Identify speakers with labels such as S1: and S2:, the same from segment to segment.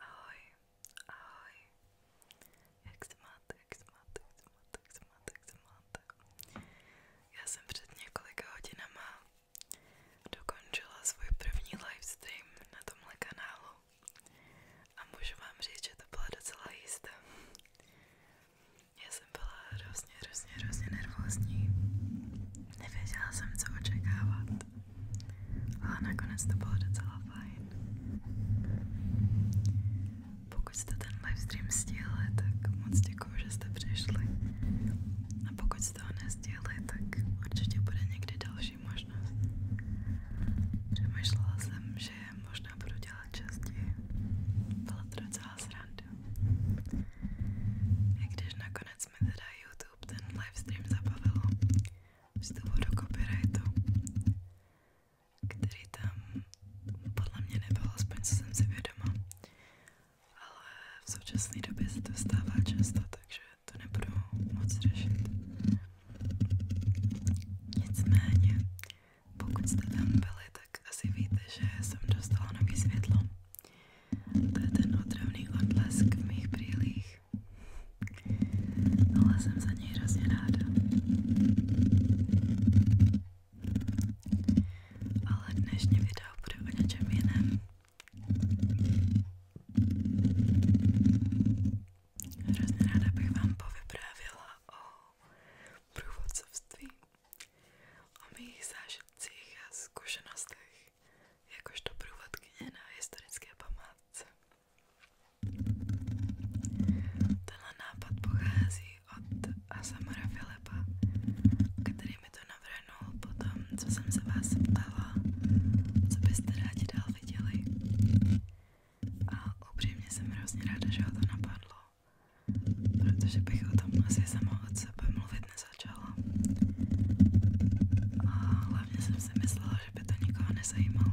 S1: Ahoj, ahoj. Jak se máte, jak se máte, jak se máte, jak se máte, jak se máte. Já jsem před několika hodinama dokončila svůj první livestream na tomhle kanálu a můžu vám říct, že to byla docela jízda. Já jsem byla hrozně, hrozně, hrozně nervózní. Nevěděla jsem, co očekávat. Ale nakonec to bylo docela fajn. Pokud jste ten livestream stíhli, tak moc děkuju, že jste přišli. A pokud jste ho nestíhli, tak určitě bude někdy další možnost. Přemýšlela jsem, že možná budu dělat častěji. Byla to docela sranda. I když nakonec mi YouTube ten livestream zabavilo z důvodu copyrightu, který tam podle mě nebyl, aspoň jsem si ale v současné době se to stává často, takže to nebudu moc řešit. Nicméně, pokud jste tam byli, tak asi víte, že jsem dostala nový světlo. To je ten otravný odlesk v mých brýlích. Ale jsem za něj hrozně ráda. Ale dnešní video bude o něčem jiném. Hrozně ráda bych vám povyprávěla o průvodcovství o mých zážitcích a zkušenostech jakožto průvodkyně na historické památce. Tenhle nápad pochází od Asamara Filipa, který to navrhnul potom, co jsem se vás ptala, co byste rádi dál viděli. A upřímně jsem hrozně ráda, že ho to napadlo protože bych o tom asi sama od sebe mluvit nezačala. A hlavně jsem si myslela, že by to nikoho nezajímalo.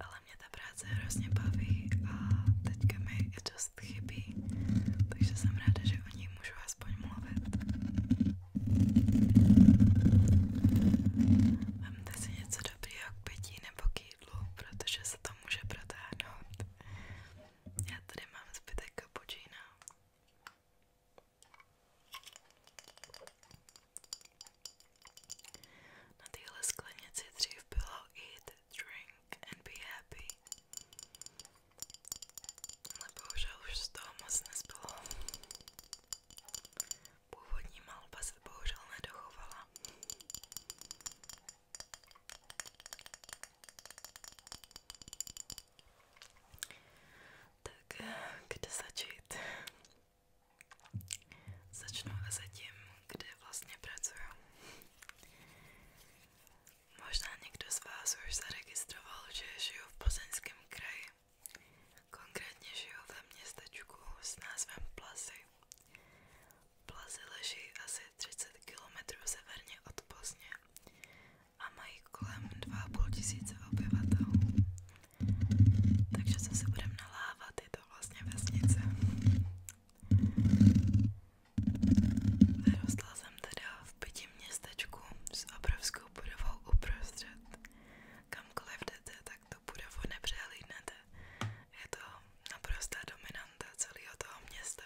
S1: Ale mě ta práce hrozně baví a teďka mi je dost chybí, takže jsem ráda, že o ní můžu aspoň mluvit. Vemte si něco dobrého k pití nebo k jídlu, protože se to může protáhnout. Já tady mám zbytek kapučína. Na téhle sklenici dřív bylo eat, drink and be happy. Ale bohužel už z toho moc nezbylo. Původní malba se bohužel nedochovala. Tak kde začít? Začnu asi tím, kde vlastně pracuju. Možná někdo z vás už zaregistroval, že žiju v Plzeňském kraji. Konkrétně žiju ve městečku s názvem Plazy. Plazy leží asi asi 30 km severně od Plzně a mají kolem 2,5 tisíce obyvatel. Takže co se budeme nalávat, je to vlastně vesnice. Vyrostla jsem teda v pěti městečku s obrovskou budovou uprostřed. Kamkoliv jdete, tak tu budovu nepřehlídnete. Je to naprostá dominanta celého toho města.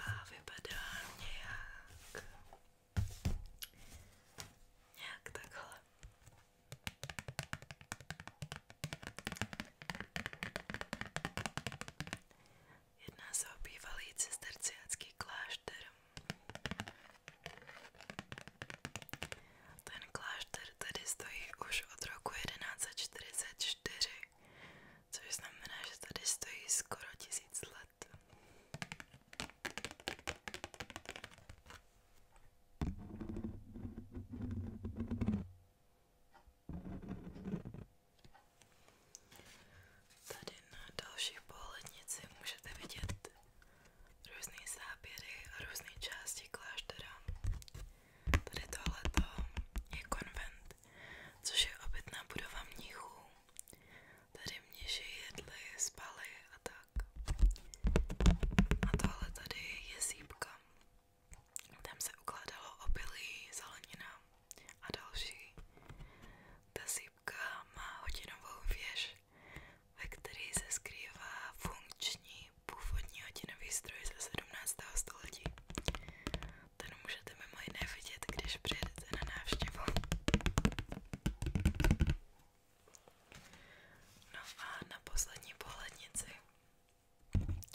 S1: A vypadá nějak... Nějak takhle. Jedná se o bývalý cisterciácký klášter. Ten klášter tady stojí už od roku 1144, což znamená, že tady stojí skoro tisíc let. Tady na další pohlednici můžete vidět různé záběry a různé části kláštera. Tady tohleto je konvent, což je obytná budova mnichů. Tady mniši jedli, spali a tak. A tohle tady je sípka. Tam se ukládalo obilí, zelenina a další. Ta sípka má hodinovou věž, ve které se skrývá funkční původní hodinový stroj ze 17. století. Ten můžete mimo jiné když přijedete na návštěvu. No a na poslední pohlednici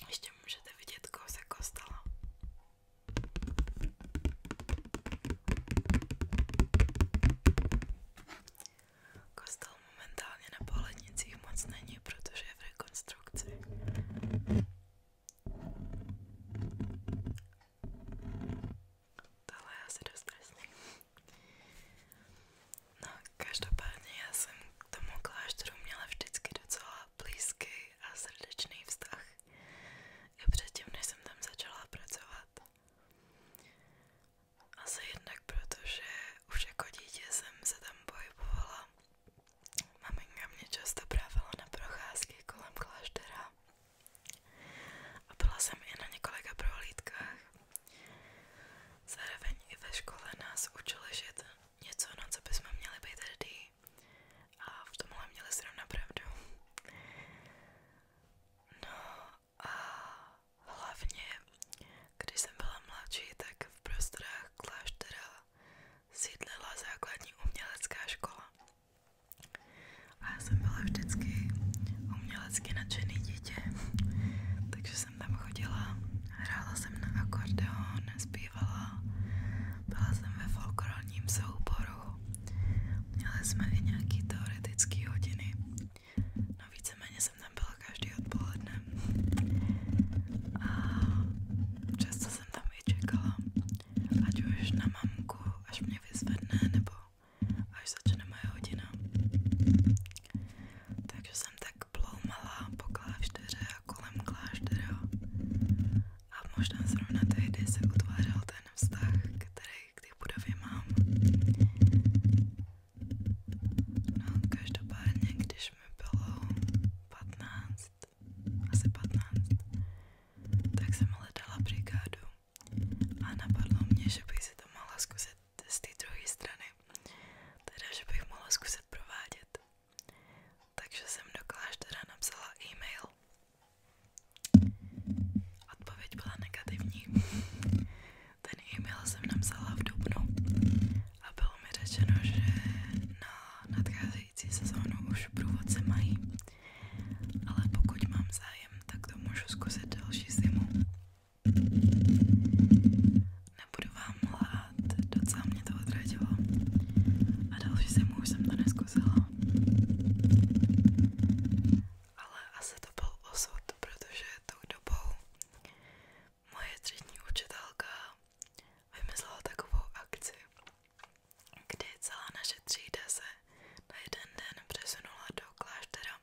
S1: ještě můžete vidět kousek kostela. Kostel momentálně na pohlednicích moc není, protože je v rekonstrukci. Tohle je asi dost stresný. No, každopádně já jsem k tomu klášteru měla vždycky docela blízký a srdečný vztah. I předtím, než jsem tam začala pracovat. Asi jednak protože už jako dítě jsem se tam pohybovala a maminka mě často brávala na procházky kolem kláštera a byla jsem i na několika prohlídkách. Zároveň i ve škole nás učili žít něco, na co bychom měli být hrdí a v tomhle měli zrovna pravdu. No a hlavně když jsem byla mladší, tak v prostorách kláštera sídlila základní umělecká škola. A já jsem byla vždycky umělecky nadšený dítě, takže jsem tam chodila, hrála jsem na akordeon, zpívala, byla jsem ve folklorním souboru, měli jsme i nějaký teoretické hodiny, no víceméně jsem tam byla každý odpoledne a často jsem tam i čekala, ať už na mamku, až mě vyzvedne, nebo až začne moje hodina. Takže jsem tak ploumala po klášteře a kolem kláštera a možná zrovna tehdy se utvářel ten vztah, který k té budově mám. No, každopádně, když mi bylo 15, asi 15, tak jsem hledala brigádu a napadlo mě, že bych si to mohla zkusit z té druhé strany, teda že bych mohla zkusit provádět. Takže jsem do kláštera napsala e-mail. Odpověď byla negativní. Ten e-mail jsem napsala v dubnu a bylo mi řečeno, že na nadcházející sezónu už průvodce mají. Ale pokud mám zájem, tak to můžu zkusit další zimu. Nebudu vám lhát, docela mě to odradilo. A další zimu už jsem to neskusila. Ale asi to byl osud, protože tou dobou moje třídní učitelka vymyslela takovou akci, kdy celá naše třída se na jeden den přesunula do kláštera.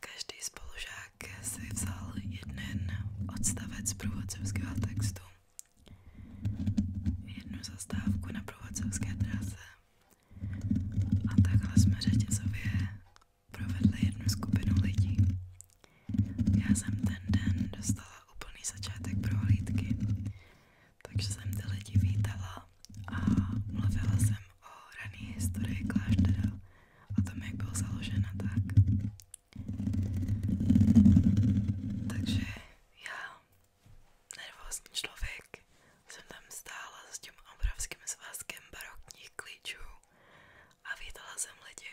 S1: Každý spolužák si vzal jeden odstavec průvodcovského textu, jednu zastávku na průvodcovské trase a takhle jsme řetězově provedli jednu skupinu lidí. Já jsem ten den dostala úplný začátek prohlídky, takže jsem ty lidi vítala a mluvila jsem o rané historii kláštera, o tom, jak byl založen a tak. Takže já, nervózní člověk, jsem tam stála s tím obrovským svazkem barokních klíčů a vítala jsem lidi.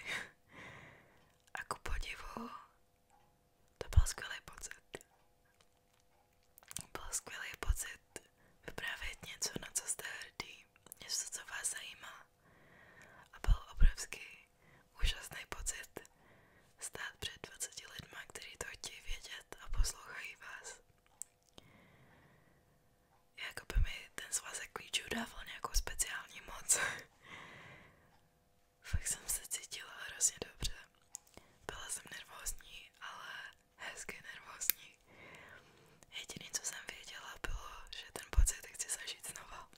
S1: A ku podivu, to byl skvělý pocit. Byl skvělý pocit vyprávět něco, na co jste hrdý, něco, co vás zajímá. A byl obrovský, úžasný pocit stát před 20 lidma, kteří to chtějí vědět a poslouchají vás. Jakoby mi ten svazek klíčů dával nějakou speciální moc. Fakt jsem se cítila hrozně dobře. Byla jsem nervózní, ale hezky nervózní. Jediné, co jsem věděla, bylo, že ten pocit chci zažít znova.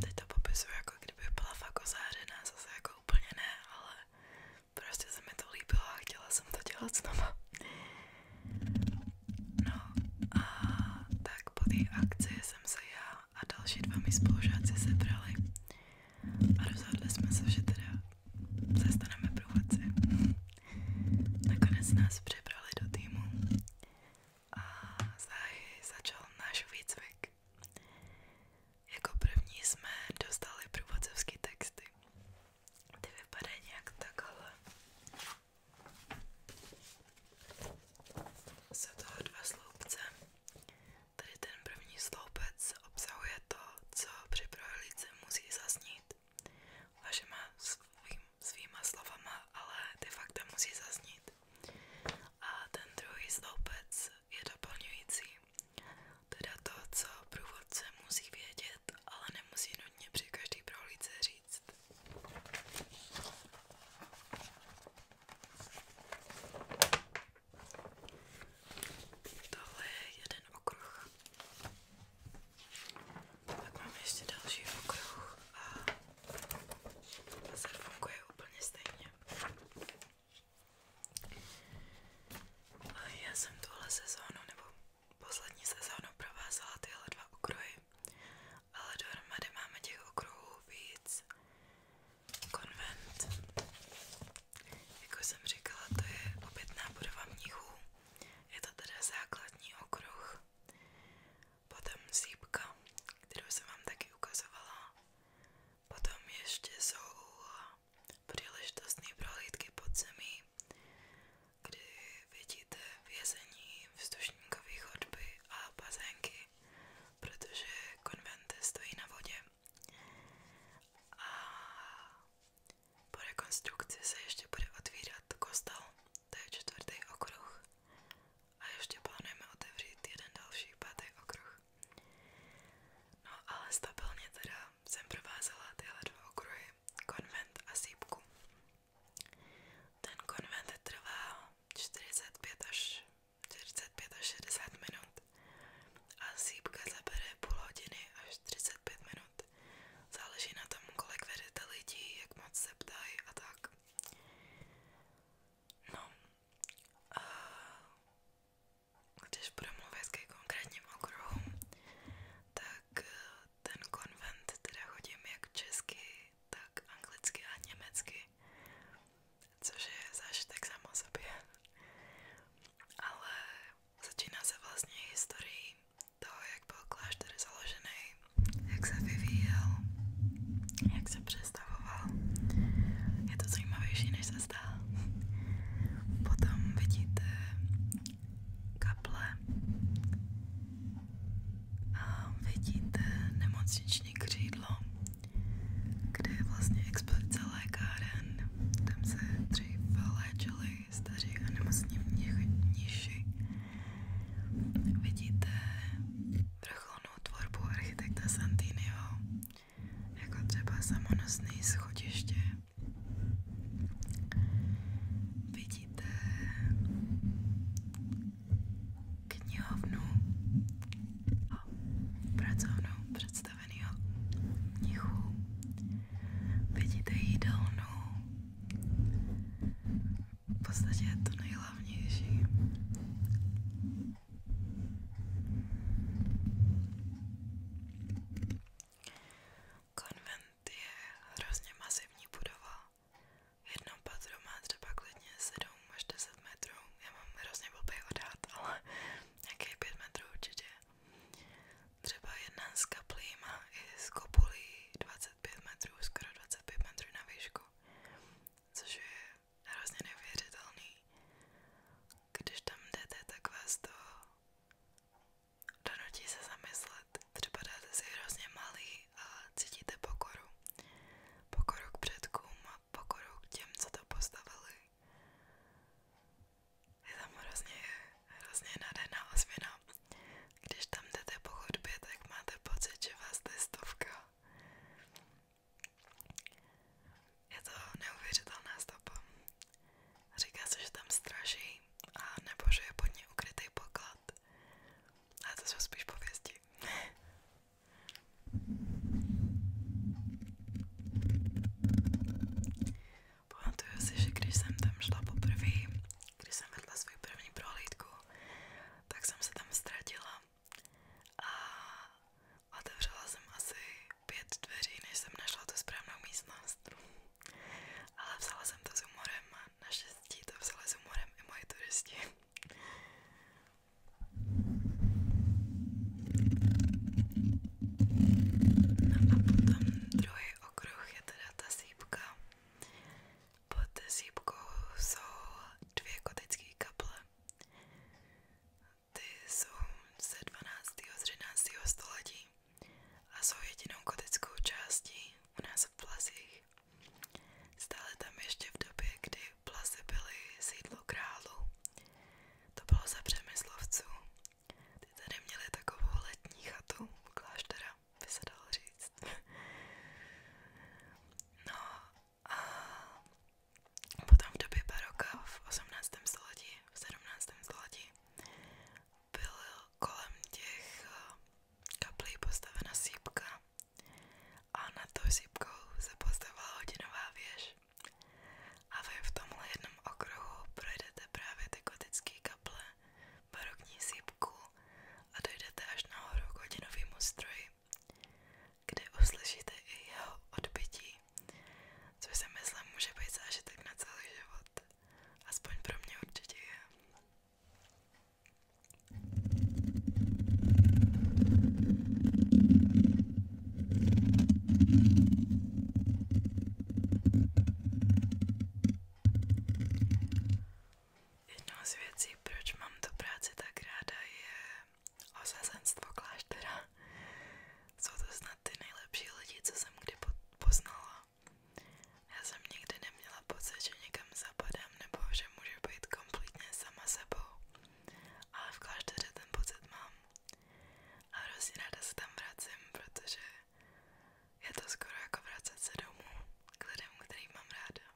S1: Teď to popisuju jako kdyby byla fakt ozářená, zase jako úplně ne, ale Prostě se mi to líbilo a chtěla jsem to dělat znova. No a tak po té akci jsem se já a další dva mý spolužáci sebrali a rozhodli jsme se, že teda se staneme průvodci. Nakonec nás přebrali do týmu a záhy začal náš výcvik. Jako první jsme dostali průvodcovské texty. Ty vypadají nějak takhle. Jsou toho dva sloupce. Tady ten první sloupec obsahuje to, co při prohlídce musí zaznít. Vašima svým, svýma slovama, ale ty fakta musí zaznít. A ten druhý sloupec je doplňující teda to, co průvodce musí vědět, ale nemusí nutně při každý prohlídce říct. Tohle je jeden okruh. Pak máme ještě další okruh a zase funguje úplně stejně. Já jsem tuhle sezónu, nebo poslední sezónu provázala tyhle dva okruhy, ale dohromady máme těch okruhů víc. Konvent, jako jsem říkala, to je obytná budova mnichů, je to teda základní okruh. Potom sípka, kterou jsem vám taky ukazovala. Potom ještě jsou příležitostné prohlídky pod zemí, kdy vidíte vězení, vzdušníkové chodby a bazénky, protože konventy stojí na vodě. A po rekonstrukci se ještě bude otvírat kostel, to je čtvrtý okruh. A ještě plánujeme otevřít jeden další pátý okruh. No ale stabilně teda jsem provázela tyhle dva okruhy, konvent a sípku. Ten konvent trvá 45 až 45 až 60 minut a sípka zabere půl hodiny až 35 minut. Záleží na tom, kolik vedete lidí, jak moc se ptají a tak. No, a když budu mluvit ke konkrétním okruhům, tak eh, ten konvent teda chodím jak česky, tak anglicky a německy, což je zážitek samo sobě. Ale začíná se vlastně historií toho, jak byl klášter založený, jak se vyvíjel, jak se přestavoval. Je to zajímavější, než se hvězda. Potom vidíte kaple a vidíte nemocniční křídlo, kde je vlastně expozice lékáren. Tam se dřív léčili staří a nemocní mniši. Vidíte vrcholnou tvorbu architekta Santinio jako třeba samonosné schodiště. Vidíte knihovnu a pracovnou představeného knihu. Vidíte jídelnu. V podstatě je to nejhlavnější. Konvent je hrozně masivní budova. Jedno patro má třeba klidně 7 až 10 metrů. Já mám hrozně blbý odhad, ale nějakých 5 metrů určitě. Třeba jedna z kaplí má i z kopulí 25 metrů, skoro 25 metrů na výšku. Což je hrozně nevěřitelný když tam jdete, tak vás to donutí se zamyslet. Třeba dáte si hrozně malý a cítíte pokoru. Pokoru k předkům a pokoru k těm, co to postavili. Je tam hrozně, hrozně nádherná ozvěna. Když tam jdete po chodbě, tak máte pocit, že vás je stovka. Je to neuvěřitelná stopa. Říká se, že tam straší a nebo že je pod ní ukrytý poklad. Ale to jsou spíš pověsti. Pamatuju si, že když jsem tam šla poprvé, když jsem vedla svou první prohlídku, tak jsem se tam ztratila a otevřela jsem asi pět dveří, než jsem našla tu správnou místnost. Ale vzala jsem to s humorem a naštěstí to vzali s humorem i moji turisti. No a potom druhý okruh je teda ta sípka. Pod sípkou jsou dvě kotické kaple ty jsou ze 12. a 13. století a jsou jedinou gotickou částí u nás v Plazích. Stále tam ještě v době, kdy Plazy byly sídlo králu. To bylo za Přemyslovců. Ty tady měli takovou letní chatu kláštera, by se dalo říct. No a Potom v době baroka v 18. století, v 17. století byl kolem těch eh, kaplí postavena sípka a nad tou sípkou se postavila hodinová věž. A vy v tomhle jednom okruhu projdete právě ty gotické kaple, barokní sípku a dojdete až nahoru k hodinovému stroji, kde uslyšíte i jeho odbytí. Což si myslím, může být zážitek na celý život. Aspoň pro mě určitě je. Jednou z věcí, proč mám tu práci tak ráda, je osazenstvo kláštera. Jsou to snad ty nejlepší lidi, co jsem kdy poznala. Já jsem nikdy neměla pocit, že někam zapadám nebo že můžu být kompletně sama sebou. Ale v klášteře ten pocit mám. A hrozně ráda se tam vracím, protože je to skoro jako vracet se domů k lidem, který mám ráda.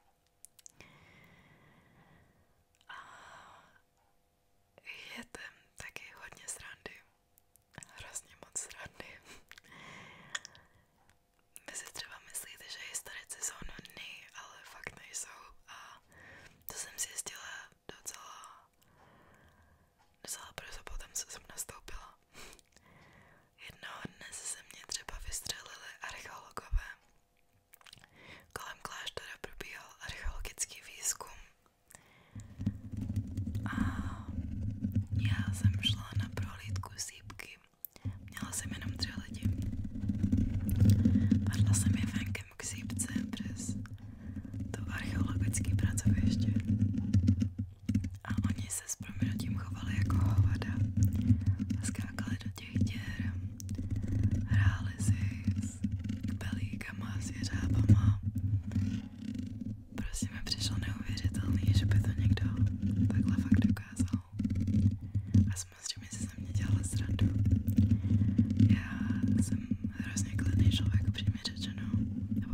S1: A je tam taky hodně srandy. Hrozně moc srandy. Vy si třeba myslíte, že historici jsou nudný, ale fakt nejsou. A to jsem zjistila docela, docela brzo potom, co jsem nastoupila. Jednoho dne se ze mě třeba vystřelili archeologové. Kolem kláštera probíhal archeologický výzkum a já jsem šla na prohlídku sípky. Měla jsem jenom tři lidi. Padla jsem je venkem k sípce přes to archeologické pracoviště. A oni se s proměnutím chovali jako hovada. Skákali do těch děr, hráli si s kbelí králíkama, s jeřábama. Prostě mi přišlo neuvěřitelný, že by to někdo takhle fakt dokázal. A samozřejmě se ze mě dělala srandu. Já jsem hrozně klidný člověk, upřímně řečeno. Nebo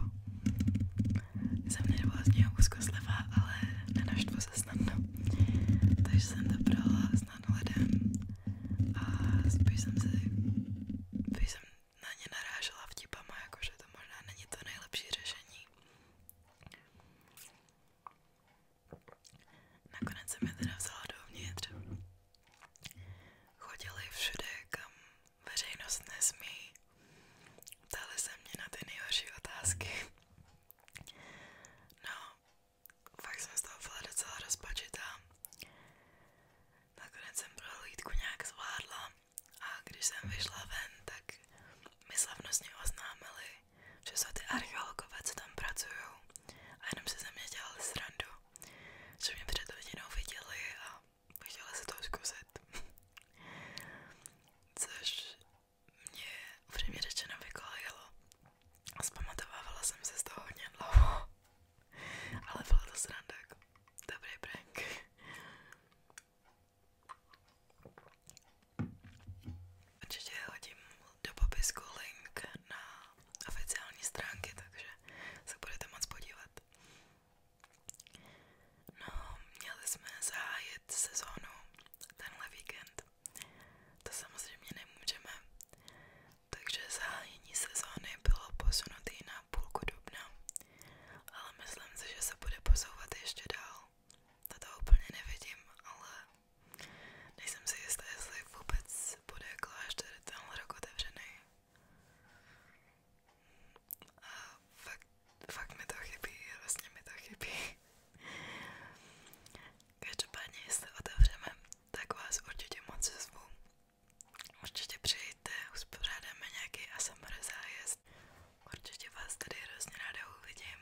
S1: jsem nervózně úzkoslivá, ale nenaštvu se snadno. Takže jsem to brala snadno lidem a spíš jsem si, spíš jsem na ně narážela vtipama, jakože to možná není to nejlepší řešení. Nakonec jsem je teda vzala dovnitř. Chodili všude, kam veřejnost nesmí. Ptali se mě na ty nejhorší otázky. No, fakt jsem z toho byla docela rozpačitá. Nakonec jsem prohlídku nějak zvládla a když jsem vyšla ven, tak mi slavnostně oznámili, že jsou ty archeologové, co tam pracují a jenom se ze mě dělali srandu, že mě před hodinou viděli a chtěli se to zkusit. Což mě upřímně řečeno vykolejilo, Zpamatovávala jsem se z toho hodně dlouho, ale byla to sranda, jako dobrý prank. Určitě hodím do popisku link na oficiální stránky, takže se budete moc podívat. No, měli jsme zahájit sezónu tenhle víkend. To samozřejmě nemůžeme, takže zahájení sezóny bylo posunutý na půlku dubna, ale myslím si, že se bude posouvat ještě dál. Toto úplně nevidím, ale nejsem si jistá, jestli vůbec bude klášter tenhle rok otevřený. A fakt, fakt mi to chybí, vlastně mi to chybí. Každopádně, jestli otevřeme tak vás určitě moc zvu. Určitě přijďte, uspořádáme nějaký ASMR zájezd. Určitě vás tady hrozně ráda uvidím.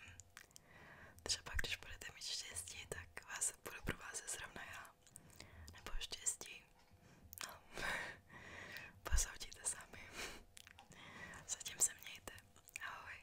S1: Třeba když budete mít štěstí, tak vás budu provázet zrovna já. Nebo štěstí. No, posoudíte sami. Zatím se mějte. Ahoj.